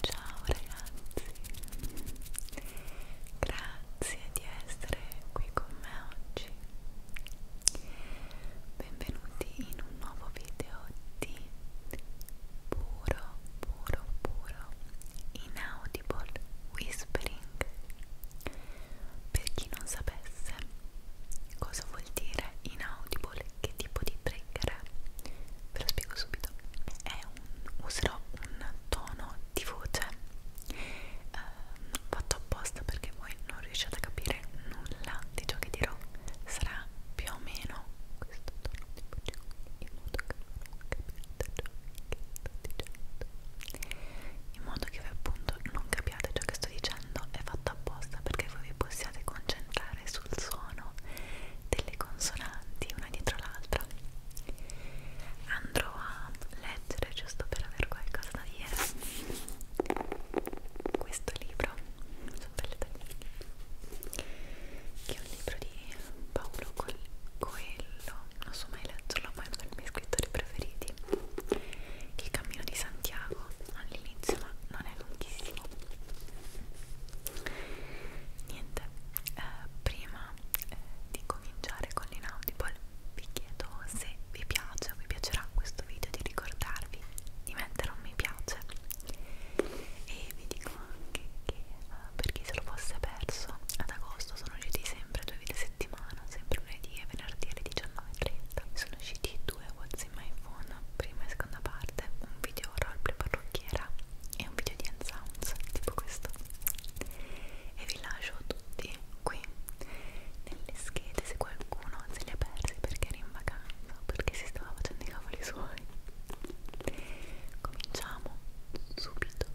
Ciao ragazzi, grazie di essere qui con me oggi. Benvenuti in un nuovo video di puro, puro, puro in audio. Audible Whispering. Per chi non sapesse cosa vuol dire inaudible, che tipo di trigger è, ve lo spiego subito. È un, userò un tono di voce eh, fatto apposta perché voi non riuscite a capire nulla di ciò che dirò. Sarà più o meno questo tono di voce in modo che capito ciò che sto dicendo in modo che voi appunto non capiate ciò che sto dicendo è fatto apposta perché voi vi possiate concentrare sul suono delle consonanti una dietro l'altra andrò a leggere giusto per avere qualcosa da dire questo libro sono belle tagliate che è un libro di Paolo Coelho non so mai leggerlo ma è uno dei miei scrittori preferiti che il cammino di Santiago all'inizio ma non è lunghissimo niente eh, prima eh, di cominciare con l'inaudible vi chiedo se vi piace o vi piacerà questo video di ricordarvi di mettere un mi piace e vi dico anche che uh, per chi se lo fosse perso ad agosto sono usciti sempre due video a settimana sempre lunedì e venerdì alle 19.30 sono usciti due What's in my phone prima e seconda parte un video roleplay parrucchiera e un video di Unsounds tipo questo e vi lascio tutti qui nelle schede se qualcuno se li ha persi perché che era in vacanza perché si stava facendo i cavoli suoi cominciamo subito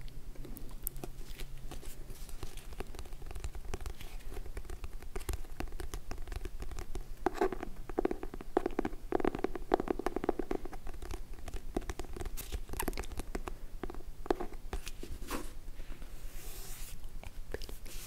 è bellissimo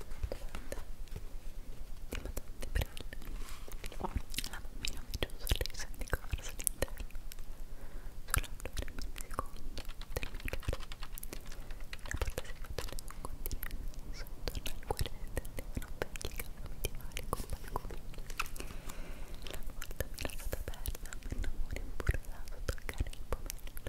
domanda di Madonna di Brille la bambina mi giù sulle senti corso all'interno solo un due secondi del mio giorno la porta si batte nel continente sottorno al quale si tendevano vecchi capi medievali con balconi la porta mi era stata aperta per non morire imburrato toccare il pomeriggio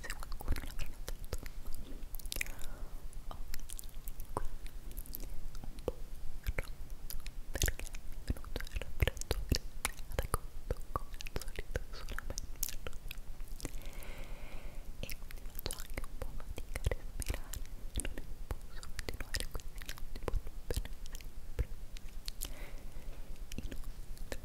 se qualcuno l'avrà notato ho qui un po' perché è venuto il raffreddore ad agosto come al solito sulla me e quindi faccio anche un po' fatica a respirare non è posso continuare questi notti buon per sempre inoltre